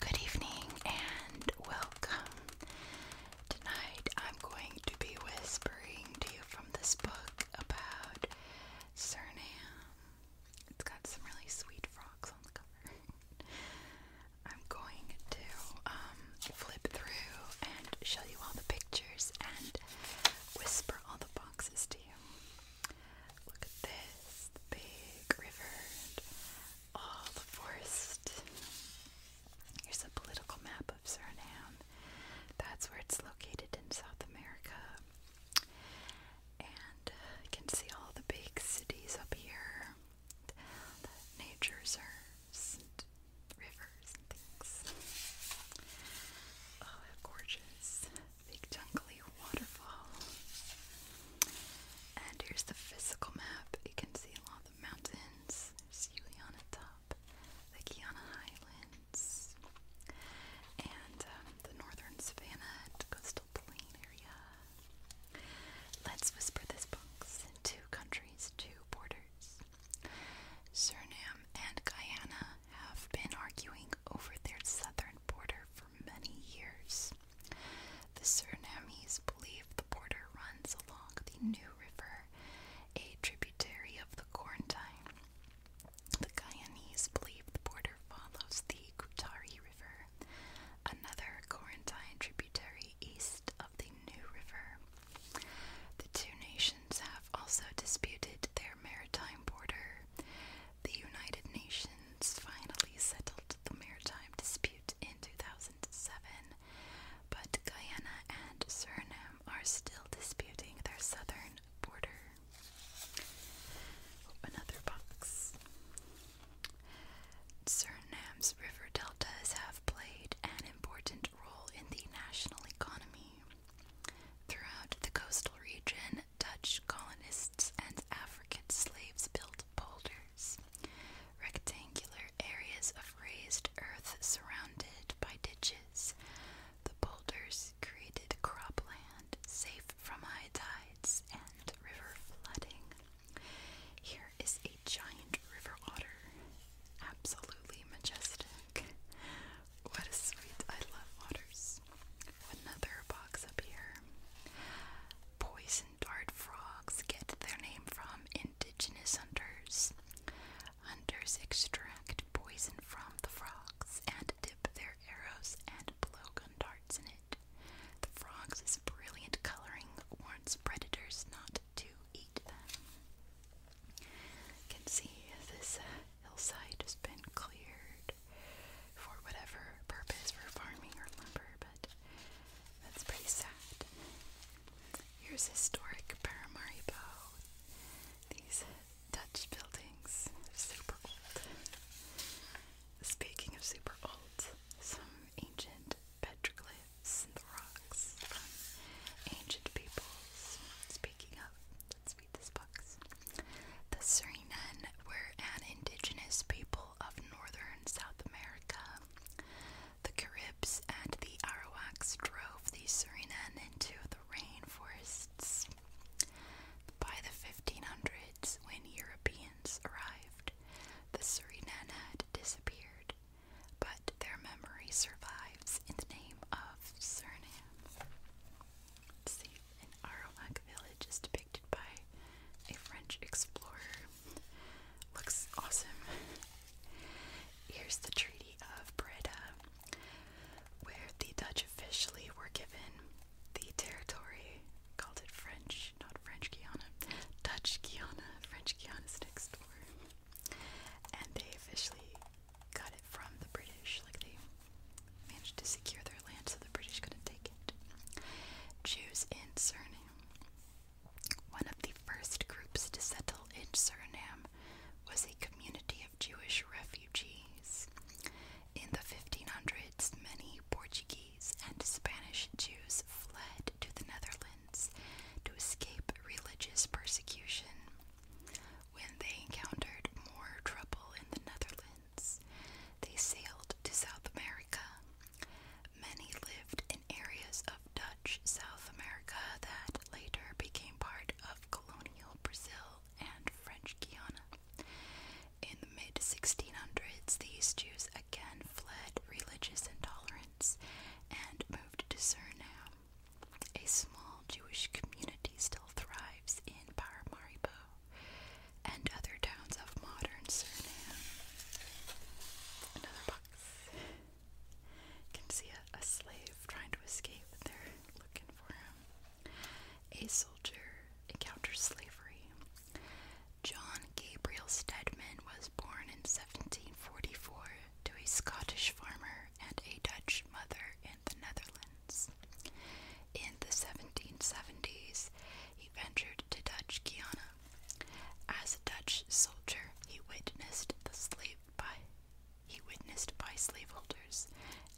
Good evening and welcome. Tonight I'm going to be whispering to you from this book about Suriname. It's got some really sweet frogs on the cover. I'm going to um, flip through and show you all the pictures and whisper all the boxes to you. Look at this big river all the forest. Here's a political map of Suriname. That's where it's located in South America. And uh, you can see all the big cities up here that nature serves, and rivers and things. Oh, a gorgeous big jungly waterfall. And here's the physical map. You can see a lot of the mountains. There's Yuliana Top, the Kiana Highlands, and um, the northern savannah. It goes plain area. Let's whisper this box two countries, two borders. Suriname and Guyana have been arguing over their southern border for many years. The Surinamese believe the border runs along the New River, a tributary of the Quarantine. The Guyanese believe the border follows the Kutari River another Corinthian tributary east of the New River. The two nations have also disputed their maritime border. The United Nations finally settled the maritime dispute in 2007, but Guyana and Suriname are still disputing their southern border. Another box. Suriname's river deltas have played an important role in the national economy. Throughout the coastal region, Dutch colonists and African slaves built polders, rectangular areas of raised earth surrounded by ditches. The polders created cropland safe from high tides and river flooding. Here is a giant river otter. Absolutely majestic. What a sweet, I love otters. Another box up here. Poison dart frogs get their name from indigenous hunters. Hunters extract poison from the frogs and dip their arrows and blowgun darts in it. The frog's brilliant coloring warns predators not to eat them. can see this hillside has been cleared for whatever purpose, for farming or lumber, but that's pretty sad. Here's historic Paramaribo. These Dutch buildings super old. Speaking of super old, some ancient petroglyphs in the rocks ancient peoples. Speaking of, let's read this box. The Surinan were an indigenous people of northern South America. The Caribs and the Arawaks drove the Surinan into the rainforests. By the 1500s, when Europeans arrived, the Surinana had disappeared, but their memory survives in the name of Suriname. see, an Arawak village is depicted by a French explorer. Looks awesome. Here's the Treaty of Breda, where the Dutch officially were given the territory called it French, not French Guiana, Dutch Guiana. French Guiana is next door. And they officially got it from the British. Like they managed to secure their land so the British couldn't take it. Jews in Suriname. One of the first groups to settle in Suriname was a community of Jewish refugees. In the 1500s, many Portuguese and Spanish Jews fled to the Netherlands to escape religious persecution. When they encountered more trouble in the Netherlands, they sailed to South America. Many lived in areas of Dutch South America that later became part of colonial Brazil and French Guiana. In the mid 1600s, these Jews again fled religious intolerance and moved to Suriname. A small Jewish community still thrives in Paramaribo and other towns of modern Suriname. Another box. You can see a, slave trying to escape, they're looking for him. A soldier encounters slavery John Gabriel Stedman was born in 1744 to a Scottish farmer and a Dutch mother in the Netherlands. In the 1770s, he ventured to Dutch Guiana. As a Dutch soldier, he witnessed the slave by he witnessed by slaveholders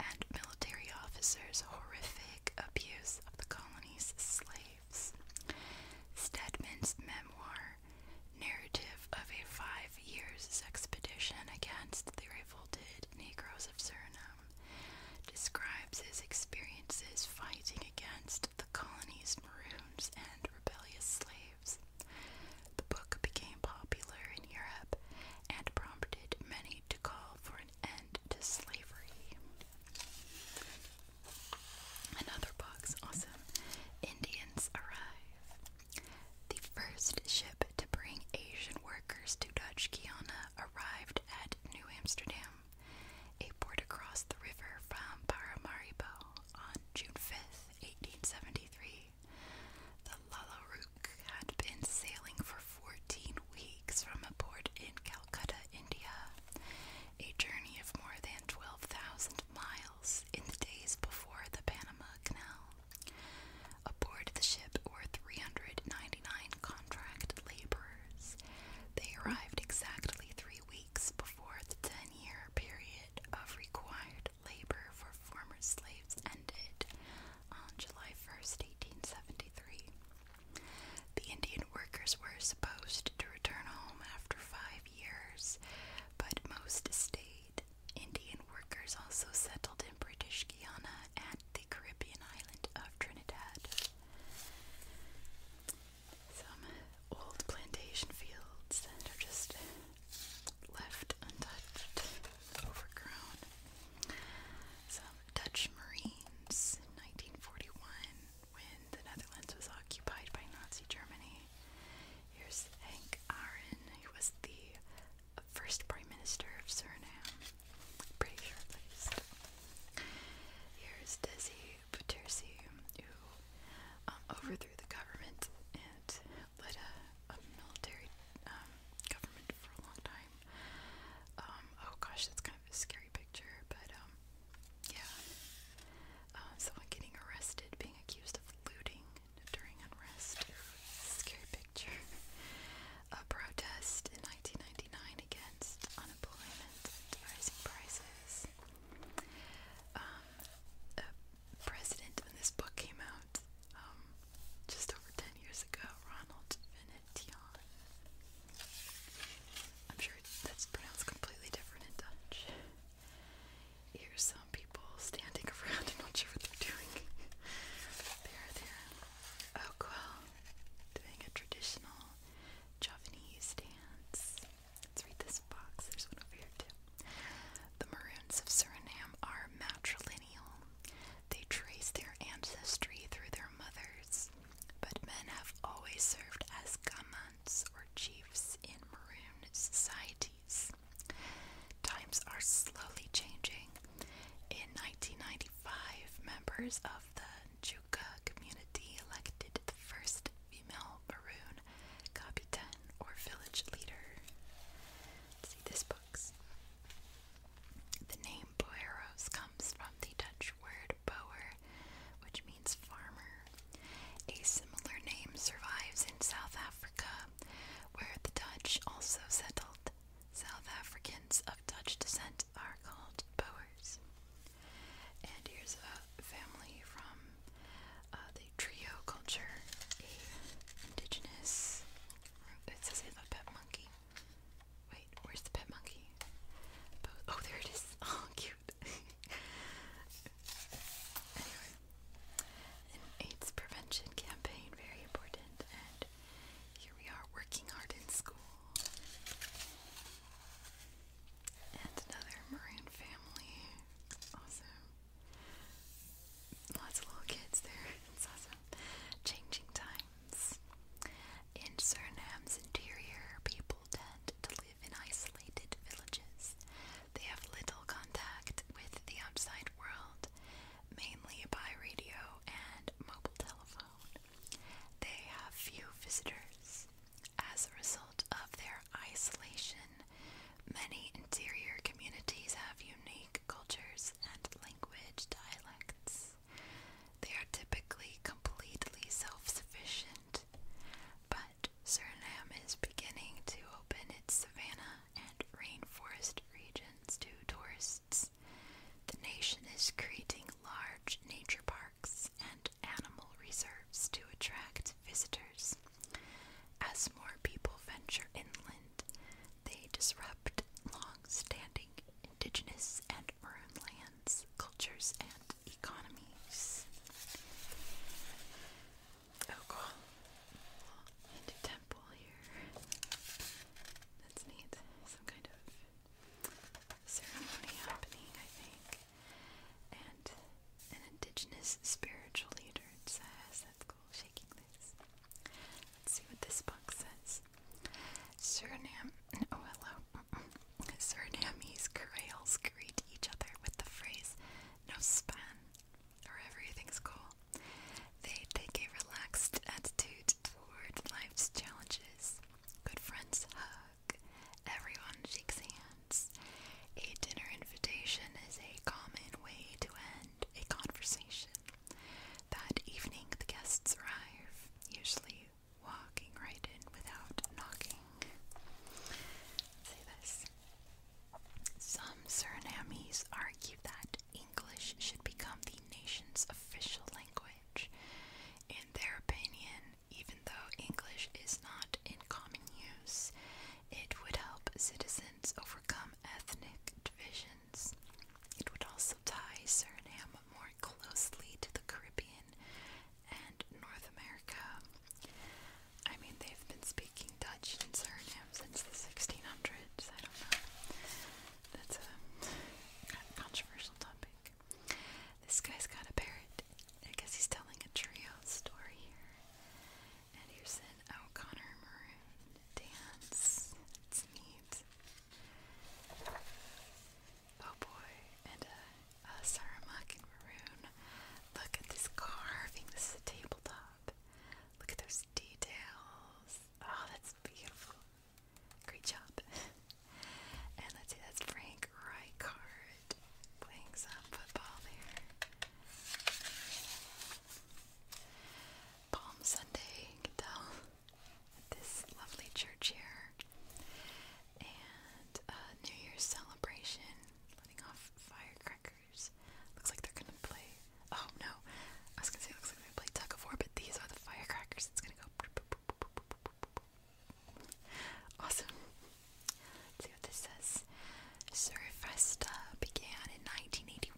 and military officers horrific abuse of the colony's slaves. Stedman's memoir, narrative of a five years expedition against the revolted Negroes of Suriname, describes his experiences fighting against the colony's maroons and rebellious slaves. The book became popular in Europe and prompted many to call for and to Slavery. Another box, awesome. Indians arrive. The first ship to bring Asian workers to Dutch Guiana arrived at New Amsterdam, a port across the river from Paramaribo, on June fifth, 1873. The Lala Rook had been sailing for 14 weeks from a port in Calcutta, India, a journey of more than 12,000 miles in the days before the Panama Canal. Aboard the ship were 399 contract laborers. They arrived exactly three weeks before the 10 year period of required labor for former slaves ended on July 1st, 1873. The Indian workers were supposed to return home after five years, but most stayed. Indian workers also settled in British Guiana and the Caribbean island of Trinidad. Some old plantation fields are just left untouched, overgrown. Dutch Marines in 1941 when the Netherlands was occupied by Nazi Germany. Here's Henk Aaron, who was the first Prime Minister of Suriname. Pretty sure at Here's Desi Bouterse, who um, overthrew the government and led a, military um, government for a long time. Um, oh gosh, that's kind of a scary picture, but um, yeah. Uh, someone getting arrested, being accused of looting during unrest. Scary picture. a protest in 1999 against unemployment and rising prices. Um, a president, when this book came out, just over 10 years ago, Ronald Cantillon. I'm sure that's pronounced completely different in Dutch. Here's some people standing around and not sure what they're doing. they're there. Oh, doing a traditional Javanese dance. Let's read this box. There's one over here, too. The Maroons of Suriname are matrilineal. They trace their ancestry through their mothers but men have always served as gamans or chiefs in maroon societies. Times are slowly changing. In 1995, members of the Njuka community elected the first female maroon kapitan or village leader. see this book's the name Boeros comes from the Dutch word boer, which means farmer. A similar name survives in South Africa, where the Dutch also settled. South Africans of Dutch descent are called Boers. And here's a family from uh, the trio culture, a indigenous. It says a pet monkey. Wait, where's the pet monkey? Oh, there it is. Oh, cute. anyway, an AIDS prevention campaign, very important. And here we are working hard in school. And another Maroon family. Awesome. Lots of little kids there. changing times. In Suriname's interior, people tend to live in isolated villages. They have little contact with the outside world, mainly by radio and mobile telephone. They have few visitors. As a result of their isolation, many interior communities have unique cultures and language dialects. They are typically completely self sufficient, but Suriname is beginning to open its savanna and rainforest regions to tourists. The nation is creating large nature parks and animal reserves to attract visitors. As more people venture inland, they disrupt long standing indigenous and maroon lands, cultures, and economies. Oh, cool. And temple here. That's neat. Some kind of ceremony happening, I think. And an indigenous spiritual leader, it says. That's cool. Shaking this. Let's see what this book says. Suriname, oh hello, Surinamese Creoles greet each other with the phrase "no span," or everything's cool. They take a relaxed attitude toward life's challenges. Good friends hug. Everyone shakes hands. A dinner invitation is a common way to end a conversation. That evening, the guests arrive, usually walking right in without knocking. Say this. Some Surinamese argue that English should become the nation's official language. In their opinion, even though English is not in common use, it would help citizens overcome ethnic divisions. It would also tie Suriname more more closely to the Caribbean and North America. I mean, they've been speaking Dutch in Suriname since the 1600s. I don't know. That's a controversial topic. This guy's got a parrot. I guess he's telling a trio story here. And here's an O'Connor dance. It's neat. Oh boy, and a, a Saramak maroon. Look at this carving. This tabletop. Look at those details. Oh, that's beautiful. Great job. and let's Frank Rijkaard playing some football there. Palm Sunday, you can this lovely church here, and a uh, New Year's celebration, letting off firecrackers. Looks like they're gonna play. Oh no, I was gonna say looks like they play tug of war, but these are the firecrackers. It's gonna go. Awesome. Let's see what this says. Surfesta began in 1981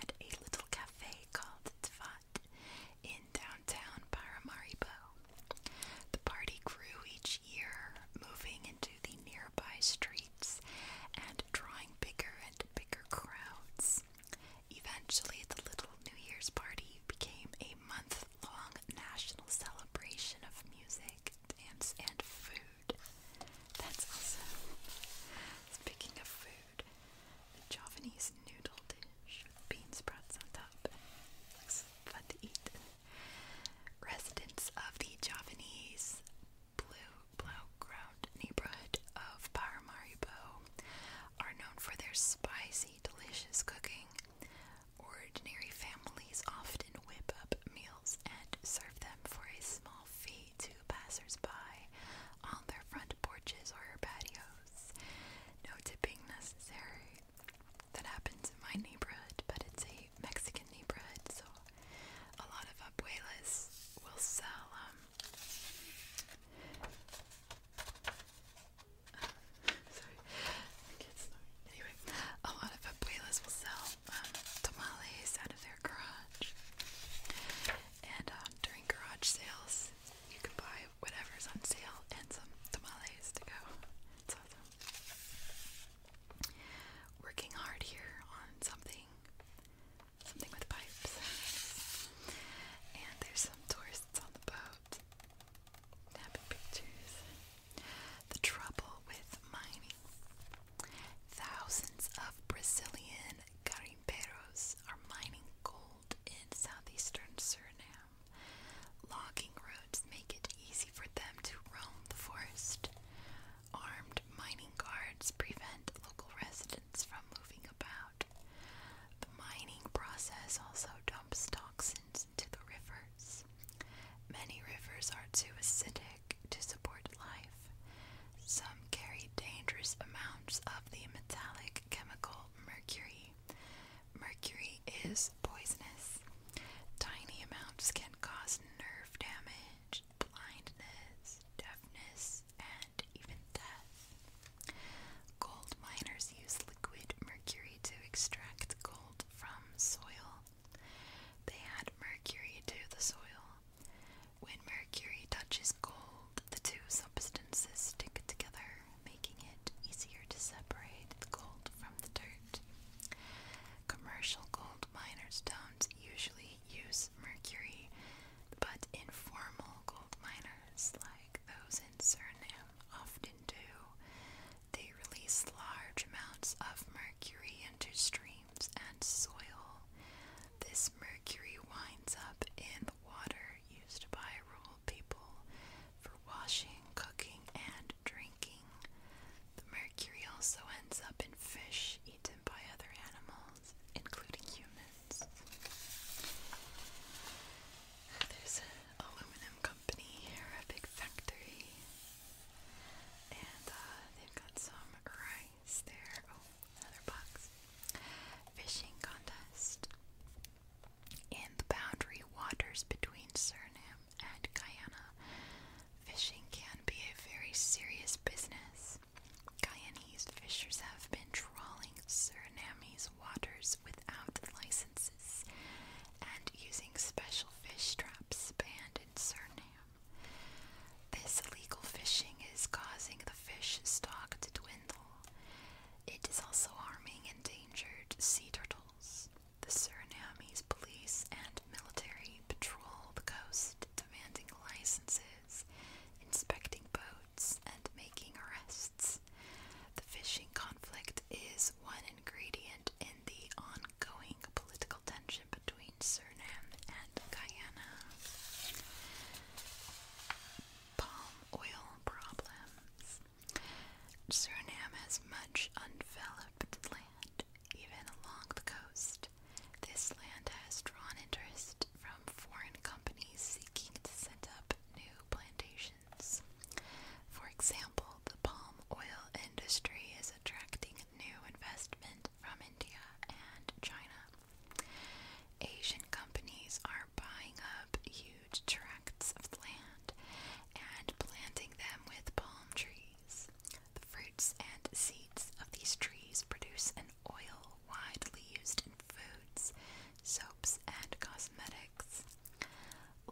at a little cafe called Dva Path in downtown Paramaribo. The party grew each year, moving into the nearby streets and drawing bigger and bigger crowds. Eventually, the little New Year's party became a month long national celebration of music, dance, and food. That's awesome. Speaking of food, prepared. Javanese noodle dish with bean sprouts on top. Looks fun to eat. Residents of the Javanese Blue Blaugrund neighborhood of Paramaribo are known for their spicy, delicious cooking. Ordinary families often whip up meals and serve them for a small fee to passers on their front porches or patios. No tipping necessary. That happens in my neighborhood, but it's a Mexican neighborhood, so a lot of abuelas will sell um, sorry, Anyway, a lot of abuelas will sell um, tamales out of their garage. And um, during garage sales, you can buy whatever's on sale and some tamales to go. It's awesome. Working hard here on something, something with pipes. and there's some tourists on the boat, napping pictures. The trouble with mining. Thousands of Brazilian and are mining gold in southeastern Suriname. Logging roads make it easy for them to roam the forest. Armed mining guards prevent local residents from moving about. The mining process also dumps toxins into the rivers. Many rivers are too acidic to support life. Some carry dangerous amounts of the metallic chemical mercury. Mercury is poisonous. Tiny amounts can cause nerve damage, blindness, deafness, and even death. Gold miners use liquid mercury to extract gold from soil. They add mercury to the soil when mercury touches gold, the two substances stick together, making it easier to separate the gold from the dirt. Commercial gold miners don't usually use mercury, but informal gold miners, like those in Suriname, often do. They release large amounts of mercury into streams and soil. This mercury mercury winds up in the water used by rural people for washing, cooking, and drinking. The mercury also ends up in fish eaten by other animals, including humans. There's an aluminum company here, a big factory, and uh, they've got some rice there. Oh, another box. Fishing contest. In the boundary waters between Suriname and Guyana, fishing can be a very serious business. Guyanese fishers have been trawling Suriname's waters without licenses and using special fish traps banned in Suriname. This illegal fishing is causing the fish stock to dwindle. It is also harming endangered sea turtles. The Suriname's police and military patrol the coast, demanding licenses, inspecting boats, and making arrests. The fishing conflict is one ingredient in the ongoing political tension between Suriname and Guyana palm oil problems. Suriname has much undeveloped land, even along the coast. This land has drawn interest from foreign companies seeking to set up new plantations. For example, the palm oil industry is attracting new investment from India and China. Asian companies are buying up huge tracts of land and planting them with palm trees. The fruits and seeds of these trees produce an oil widely used in foods, soaps, and cosmetics.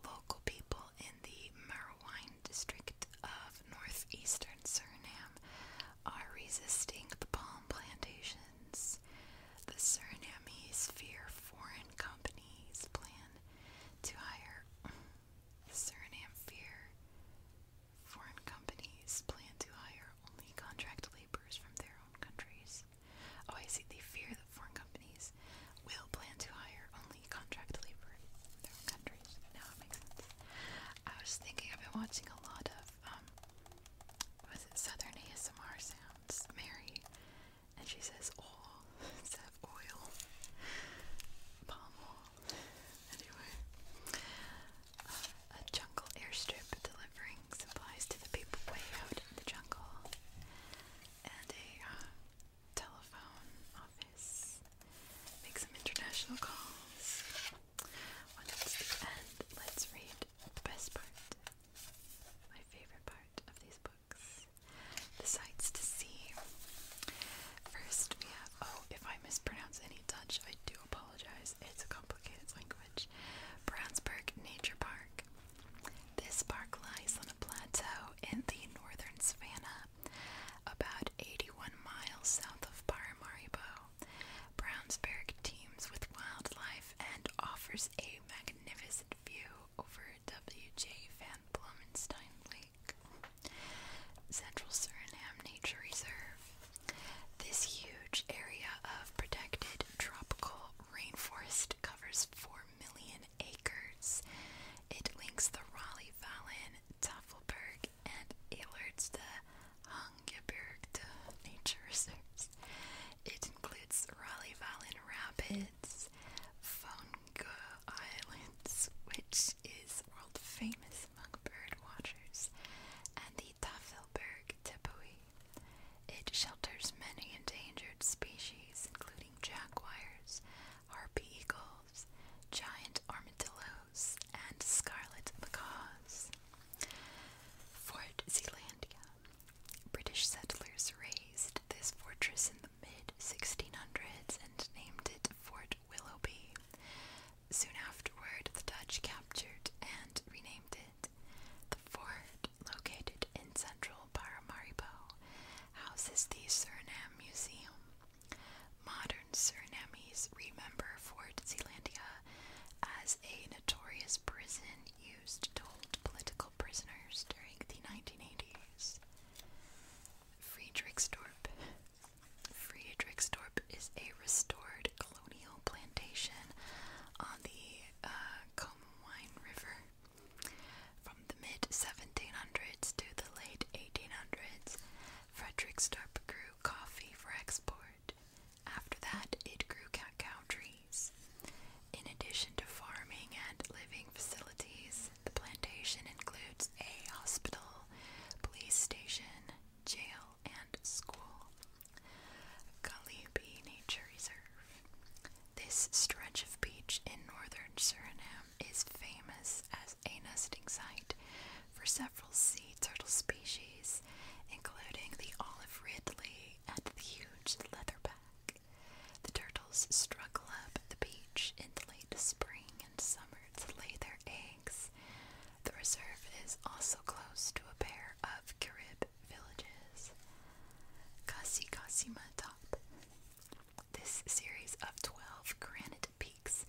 Local people in the Marwine district of northeastern Suriname are resisting the palm plantations. The Surinamese fear foreign companies plan to hire. The Suriname fear foreign companies plan to hire only contract laborers from their own countries. Oh, I see. They fear that foreign companies will plan to hire only contract labor from their own countries. Now I was thinking I've been watching a lot of um, was it Southern ASMR Sounds, Mary, and she says oil instead of oil, palm oil. Anyway, uh, a jungle airstrip delivering supplies to the people way out in the jungle, and a uh, telephone office. Make some international calls. When the let's read the best part. My favorite part of these books. The sights to see. First, we have. Oh, if I mispronounce any Dutch, I do apologize. It's a complicated language. Brownsburg Nature Park. This park lies on a plateau in the northern savannah, about 81 miles south of Paramaribo. Brownsburg teems with wildlife and offers a magnificent view over W.J. Van Blumenstein Lake, Central Suriname Nature Reserve. This huge area of protected tropical rainforest covers 4 million acres. It links the Raleigh Valley, Tafelberg, and alerts the Hungaberg nature reserves. It includes Raleigh Valley Rapids, Fonga Islands, which is world famous among bird watchers, and the Tafelberg Tepui. It shelters many endangered species, including jaguars, harpy eagles, giant armadillos, and Scarlet Macaws. Fort Zealandia. British settlers raised this fortress in the mid 1600s and named it Fort Willoughby. Soon afterward, the Dutch captured and renamed it. The fort, located in central Paramaribo, houses the Suriname Museum. Modern modern Surinamese remember for Zeelandia as a notorious prison used to hold political prisoners during the 1980s. Friedrichsdorp. Friedrichsdorp is a restored colonial plantation on the uh, River. From the mid 1700s to the late 1800s, Fredericksdorp grew coffee for export. After that, it grew cacao trees. In addition to farming and living facilities, the plantation includes a hospital, police station, jail, and school. Galipi Nature Reserve. This stretch of beach in northern Suriname is famous as a nesting site for several sea turtle species, including the olive ridley and the huge leatherback. The turtles struggle up the beach in the late spring and summer to lay their eggs. The reserve is also close to a pair of Carib villages. Kasi Kasima Top. This series of 12 granite Peaks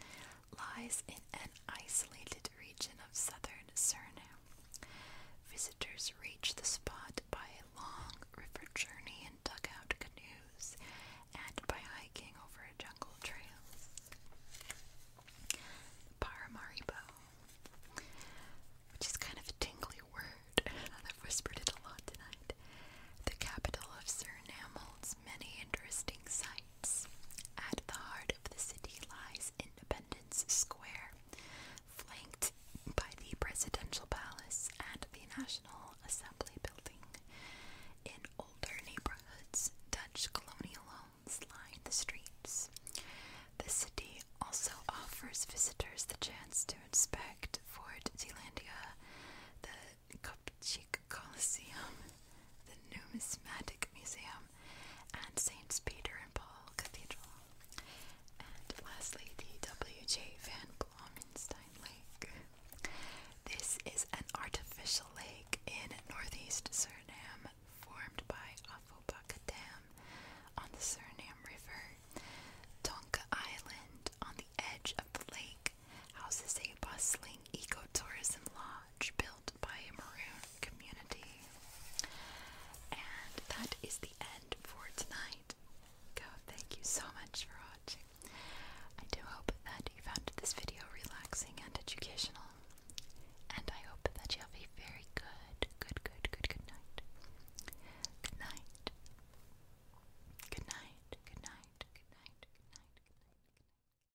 lies in an isolated region of southern Suriname. Visitors reach the spot by a long river journey in dugout canoes and by hiking over a jungle trail. Paramaribo, which is kind of a tingly word. I've whispered it a lot tonight. The capital of Suriname holds many interesting sights. At the heart of the city lies Independence Square, flanked by the Presidential Palace and the National Assembly Building. In older neighborhoods, Dutch colonial homes line the streets. The city also offers visitors the chance to inspect Fort Zeelandia, the Chic Coliseum, the Numismatic Museum, and St. Peter and Paul Cathedral. And lastly, the W.J. Van Blomenstein Lake. This is an artificial lake in northeast Suriname formed by Afobaka Dam on the Suriname River. Tonka Island on the edge of the lake houses a bustling ecotourism lodge built by a maroon community. And that is the end for tonight. Go, thank you so much for watching. I do hope that you found this video relaxing and educational. And I hope that you will be very good, good, good, good, Good night. Good night. Good night. Good night. Good night. Good night. Good night.